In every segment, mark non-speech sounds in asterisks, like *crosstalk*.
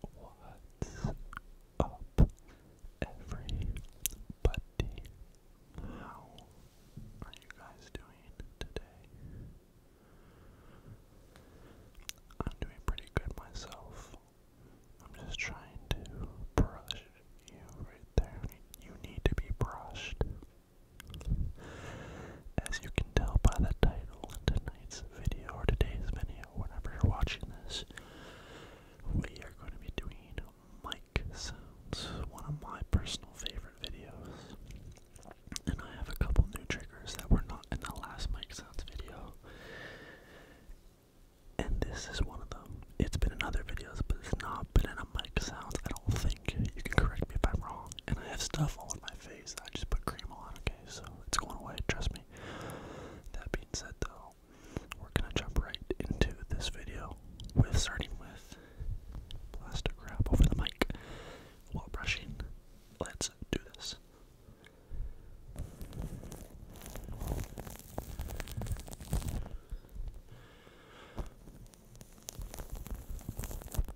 What's up, everybody? How are you guys doing today? I'm doing pretty good myself. I'm just trying to brush you right there. You need to be brushed. As you can tell by the title, tonight's video or today's video, whenever you're watching this, we are going to be doing mic sounds, one of my personal favorite videos. And I have a couple new triggers that were not in the last mic sounds video. And this is one of them. It's been in other videos, but it's not been in a mic sounds. I don't think you can correct me if I'm wrong. And I have stuff all in my face. I just put cream on, okay? so it's going away, trust me. That being said, though, we're gonna jump right into this video with starting with plastic wrap over the mic while brushing. Let's do this.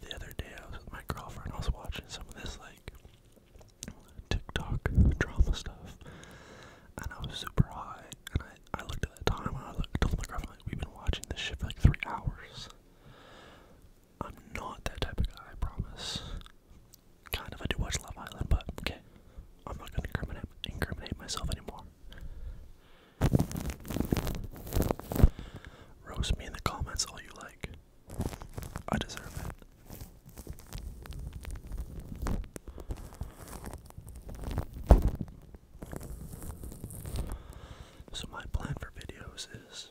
The other day I was with my girlfriend, I was watching some of this like TikTok drama stuff and I was super high and I, I looked at the time I looked, told my girlfriend like we've been watching this shit for like three hours. I'm not that type of guy, I promise. Kind of, I do watch Love Island, but okay. I'm not gonna incriminate, incriminate myself anymore. Roast me in the comments all you like. I deserve it. So my plan for videos is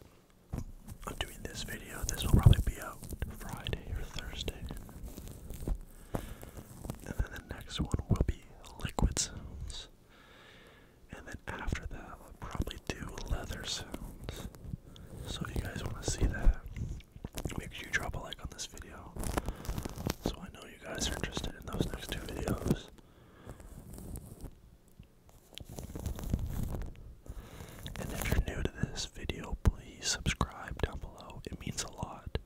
I'm doing this video. This will probably be out Friday or Thursday. And then the next one will be liquid And then after that, I'll probably do leather So if you guys want to see that, make sure you drop a like on this video. So I know you guys are interested in those next two videos. And if you're new to this video, please subscribe down it means a lot.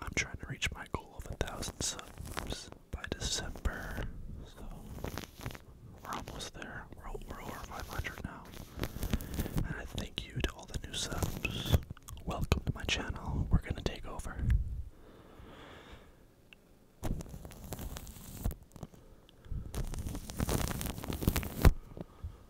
I'm trying to reach my goal of a thousand subs by December, so we're almost there. we're over 500 now. And I thank you to all the new subs. Welcome to my channel. We're gonna take over.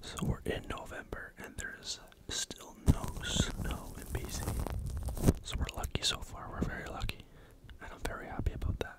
So we're in November and there's still no snow in BC. So we're lucky so far, we're very lucky. And I'm very happy about that.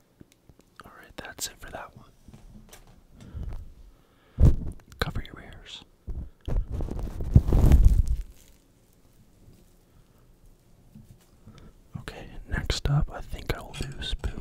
Alright, that's it for that one. Cover your ears. Okay, next up, I think I will do spoons.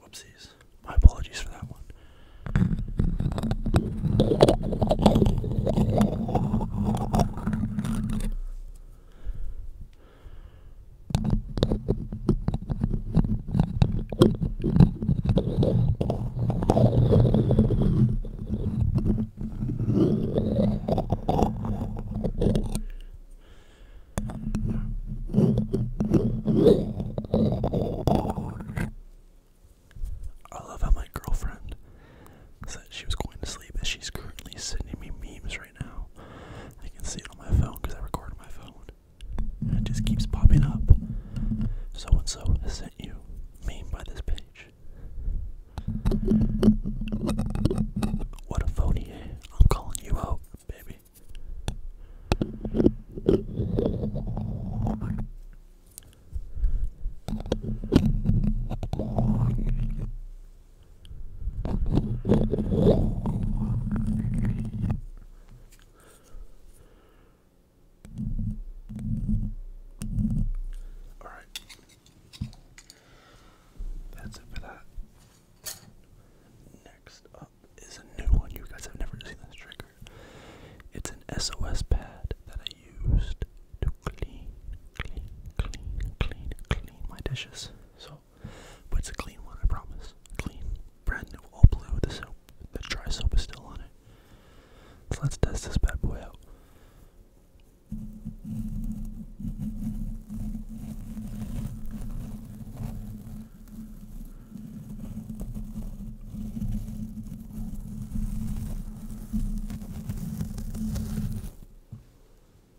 Whoopsies. My apologies for that one. I love how my girlfriend said she was going to sleep, but she's currently sending me memes right now. I can see it on my phone because I record on my phone. It just keeps popping up. So and so sent you meme by this page. What a phony, eh? I'm calling you out, baby. All right. That's it for that. Next up is a new one. You guys have never seen this trigger. It's an SOS pad that I used to clean, clean, clean, clean, clean my dishes. So but it's a clean one, I promise. Clean. Brand new, all blue. The dry soap is still on it. let's test this bad boy out.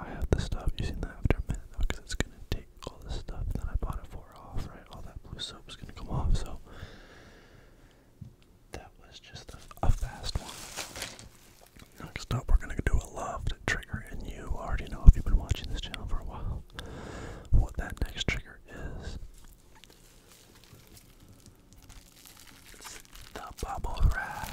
I have to stop using that after a minute because it's gonna take all the stuff that I bought it for off, right? All that blue soap's gonna come off, so that was just a, fast one. Next up, we're gonna do a loved trigger, and you already know if you've been watching this channel for a while what that next trigger is. It's the bubble wrap.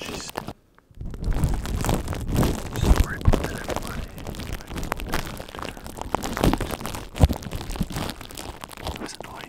She's sorry about that, everybody. It was annoying.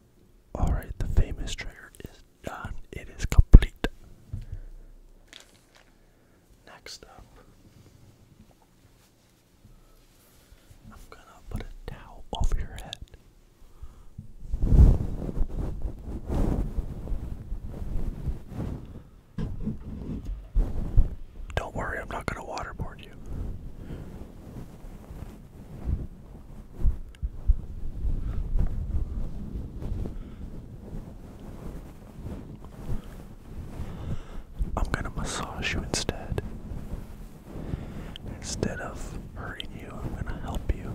Alright, the famous trigger is done. It is complete. Next up, I'm gonna put a towel over your head. Don't worry, I'm not gonna waterboard you. I'm gonna massage you instead. Instead of hurting you, I'm gonna help you.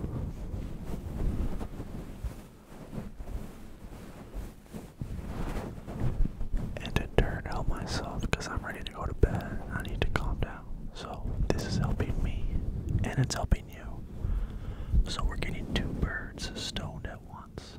And in turn, help myself because I'm ready to go to bed. I need to calm down. So this is helping me and it's helping you. So we're getting two birds stoned at once.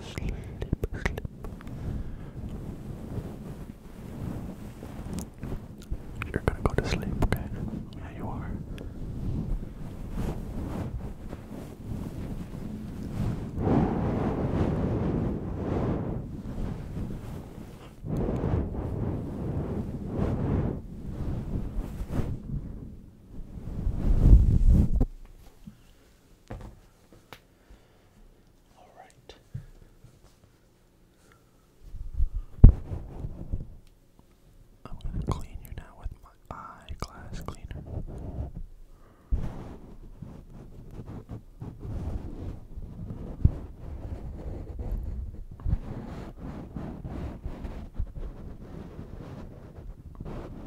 sleep, sleep. You're gonna go to sleep, okay? Yeah, you are. All right. I'm going to clean you now with my eyeglass cleaner.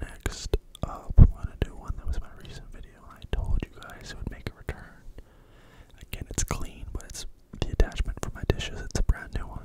Next up, I'm to do one that was my recent video I told you guys it would make a return. Again, it's clean, but it's the attachment for my dishes. It's a brand new one.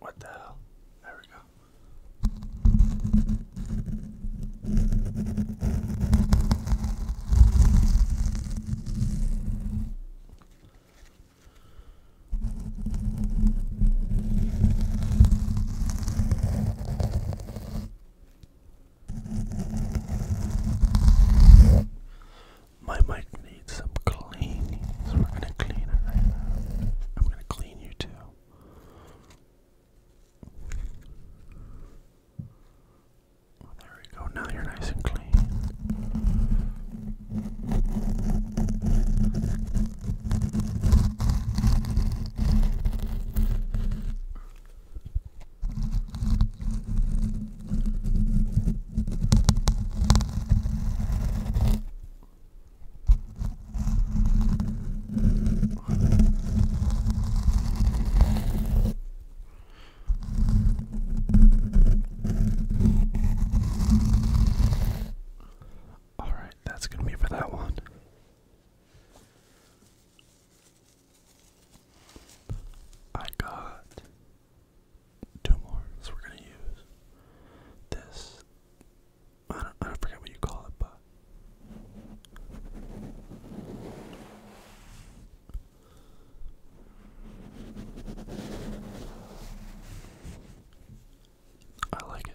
What the hell? There we go. My mic needs some cleaning, so we're gonna clean it right now. I'm gonna clean you too. There we go, now you're nice and clean. All right, that's going to be for that one. I got two more. So we're gonna use this. I don't, I don't forget what you call it, but I like it.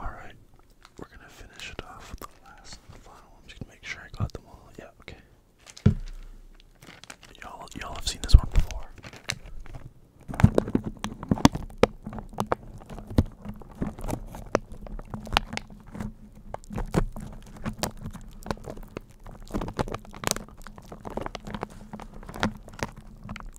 Alright, we're gonna finish it off with the last and final one. I'm just gonna make sure I got them all. Yeah, okay. Y'all y'all have seen this one before.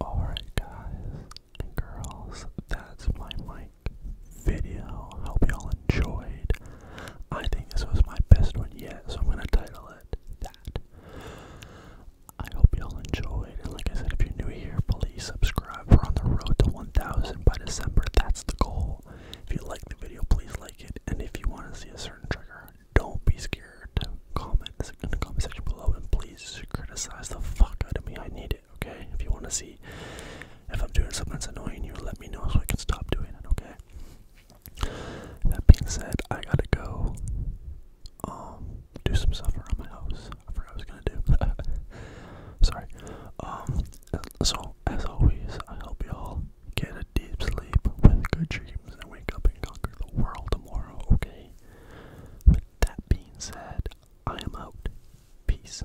Alright, guys girls, that's my mic. Video. I Hope y'all enjoyed. I think this was my best one yet, so I'm gonna title it that. I hope y'all enjoyed. And like I said, if you're new here, please subscribe. We're on the road to 1,000 by December. That's the goal. If you like the video, please like it. And if you want to see a certain trigger, don't be scared to comment in the comment section below and please criticize the fuck out of me. I need it, okay? If you want to see if I'm doing something that's annoying you, let me know so I can stop doing it, okay? That being said, I gotta go um do some stuff around my house. I forgot I was gonna do. *laughs* Sorry. Um so as always I hope y'all get a deep sleep with good dreams and wake up and conquer the world tomorrow, okay? With that being said, I am out. Peace.